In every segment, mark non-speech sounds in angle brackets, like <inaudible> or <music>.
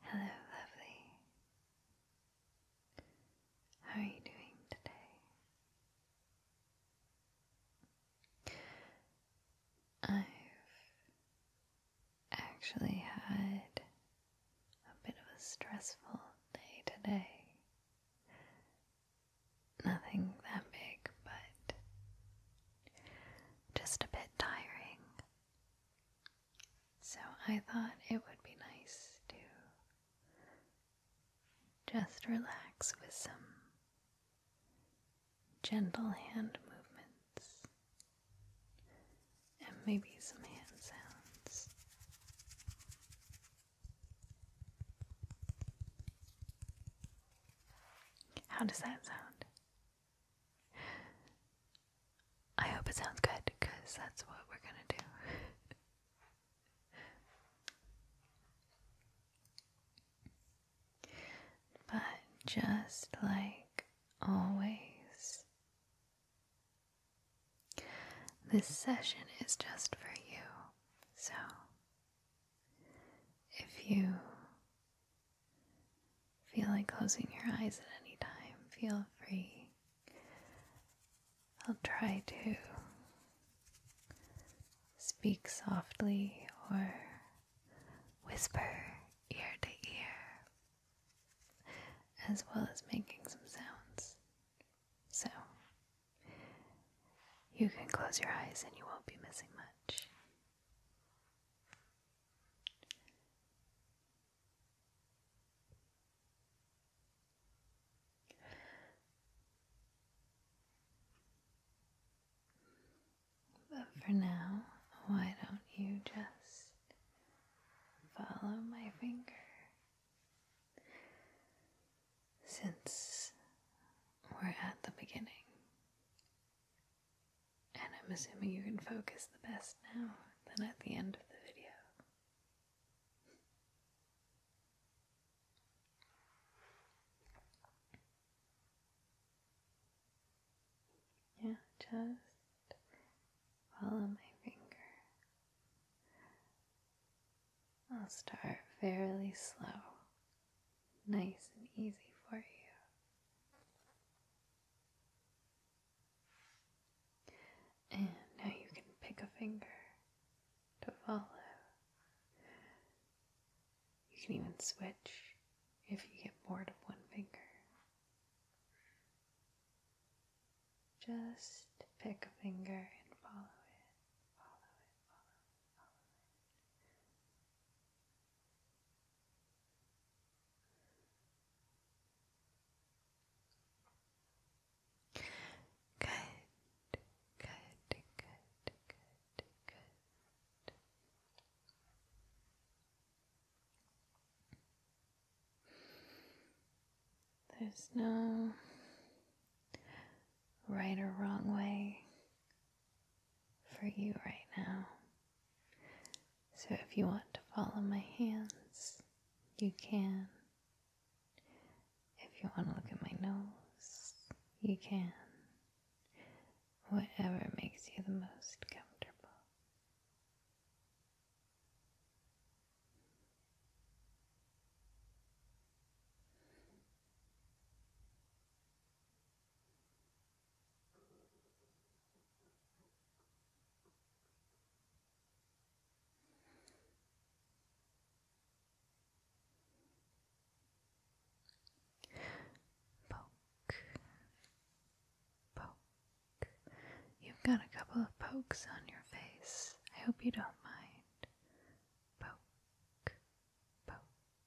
Hello, lovely. How are you doing today? I've actually had a bit of a stressful day today. Nothing that big, but just a bit tiring. So I thought it would be nice to just relax with some gentle hand movements and maybe some hand sounds. How does that sound? I hope it sounds good because that's what we're going to do. <laughs> but just like always, this session is just for you. So if you feel like closing your eyes at any time, feel free. I'll try to speak softly or whisper ear to ear, as well as making some sounds. So, you can close your eyes and you won't be missing much. But for now, why don't you just follow my finger? Since we're at the beginning, and I'm assuming you can focus the best now than at the end of the video. Yeah, just follow my finger. I'll start fairly slow nice and easy for you. And now you can pick a finger to follow. You can even switch if you get bored of one finger. Just pick a finger and follow it, follow it, follow it, follow it. Good, good, good, good, good. There's no right or wrong way for you right now. So if you want to follow my hands, you can. If you want to look at my nose, you can. Whatever makes you the most comfortable. Poke, poke. You've got a couple of pokes on your face. I hope you don't mind. Poke, poke.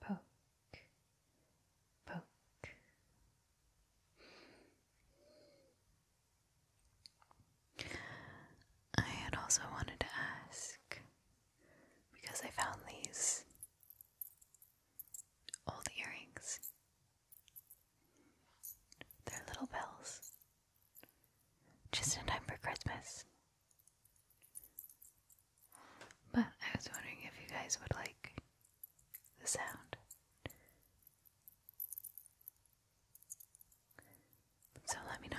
poke, poke. poke. I had also wanted to ask because I found these old earrings. They're little bells. Just in time for Christmas. But I was wondering if you guys would like the sound. So let me know.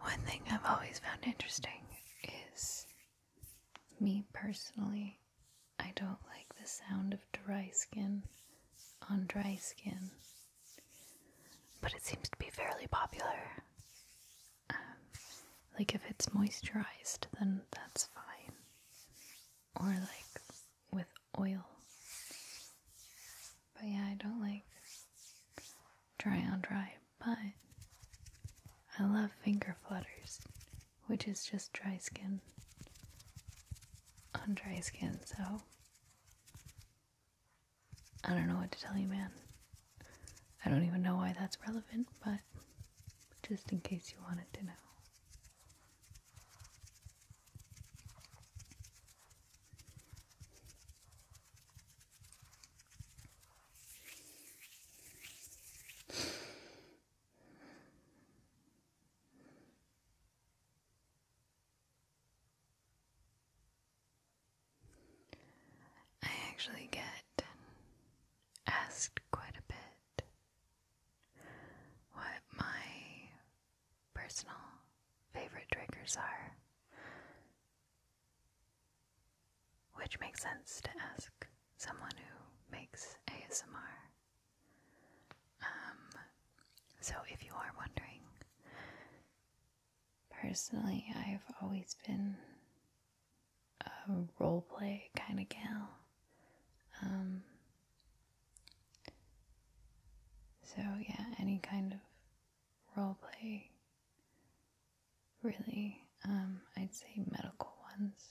One thing I've always found interesting is me personally, I don't like the sound of dry skin on dry skin but it seems to be fairly popular. Um, like if it's moisturized, then that's fine, or like with oil. But yeah, I don't like dry on dry, but I love finger flutters, which is just dry skin on dry skin, so I don't know what to tell you, man. I don't even know why that's relevant, but just in case you wanted to know. I actually get asked quite a bit what my personal favorite triggers are, which makes sense to ask someone who makes ASMR. Um, so if you are wondering, Personally, I've always been a role play kind of gal. Um, so, yeah, any kind of role play, really. Um, I'd say medical ones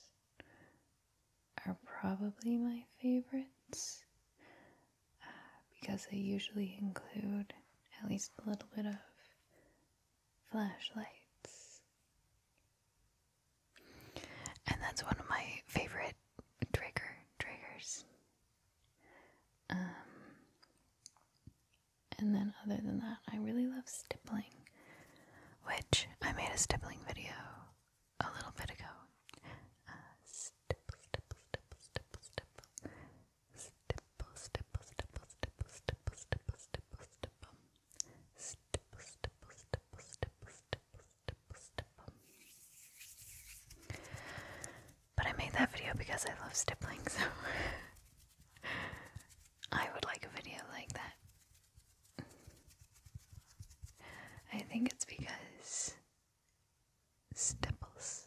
are probably my favorites uh, because they usually include at least a little bit of flashlights. And that's one of my favorite trigger triggers. Um, and then, other than that, I really love stippling, which I made a stippling video a little bit ago. Uh, stipple, stipple, stipple, stipple, stipple, stipple, stipple, stipple, stipple, stipple, stipple, stipple, stipple, stipple, stipple. But I made that video because I love stippling, so <laughs> I would like a video like that. I think it's because stipples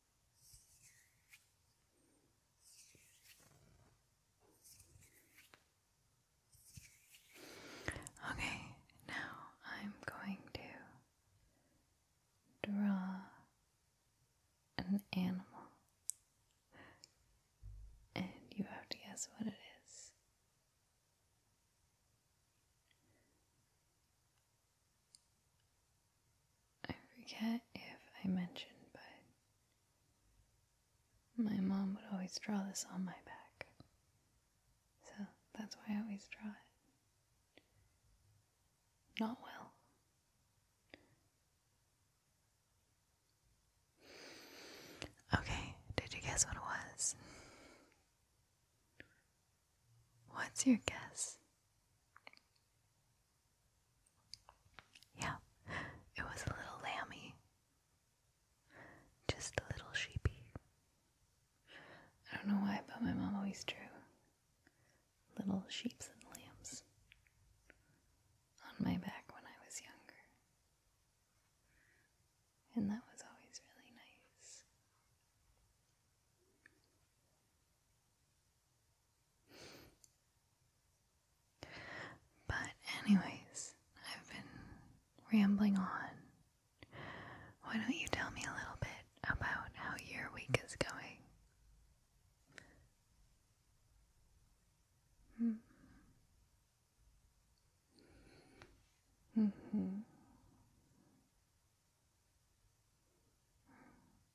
Okay, now I'm going to draw an animal, and you have to guess what it is. I forget if I mentioned, but my mom would always draw this on my back. So that's why I always draw it. Not well. Okay, did you guess what it was? What's your guess? Yeah, it was a little lammy. Just a little sheepy. I don't know why, but my mom always drew little sheeps and lambs on my back when I was younger. And that was always really nice. But, anyways, I've been rambling on. Why don't you tell me a little bit about how your week is going? Mm-hmm. Mm-hmm.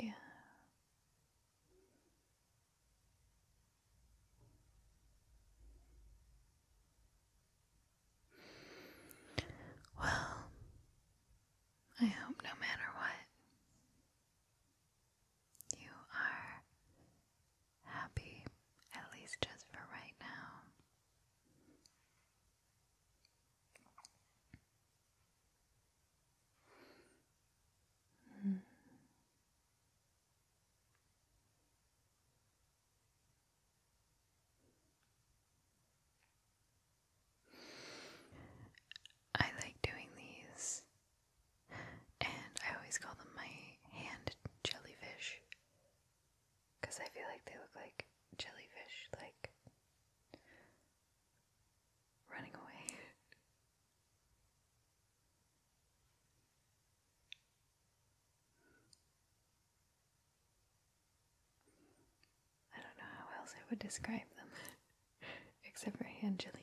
Yeah. Well, I hope no matter what, you are happy, at least just for right now. Mm. I like doing these, and I always call them my hand jellyfish because I feel like they look like jellyfish, like running away. <laughs> I don't know how else I would describe them <laughs> except for hand jellyfish.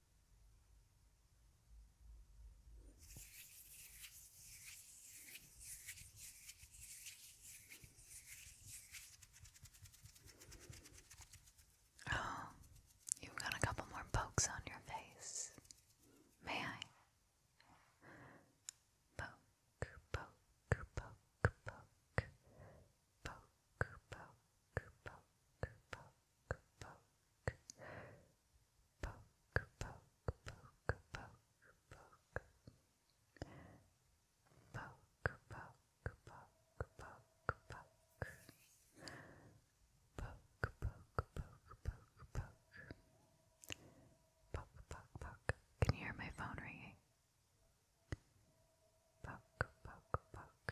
Oh, you've got a couple more pokes on your face. May I? Poke, poke, poke, poke, poke, poke, poke, poke, poke, poke, poke, poke, poke, poke, poke, poke. Poke, poke, poke, poke. Poke, poke, poke, poke, poke. Poke, poke, poke. Can you hear my phone ringing? Poke, poke, poke.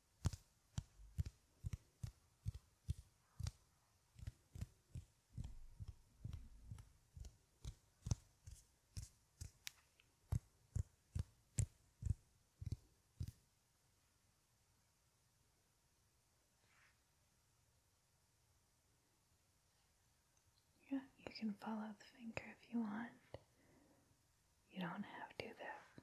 Yeah, you can follow the finger if you want. You don't have to, though.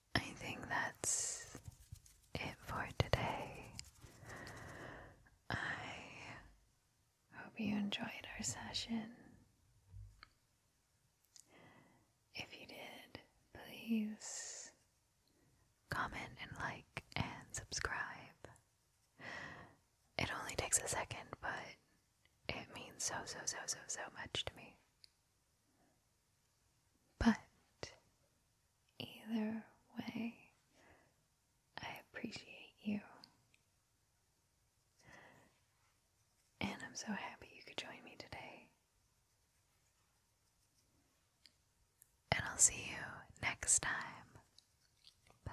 I think that's it for today. I hope you enjoyed our session. If you did, please comment and like and subscribe. It only takes a second, but it means so, so, so, so, so much to me. But either way, I appreciate you. And I'm so happy you could join me today. And I'll see you next time. Bye.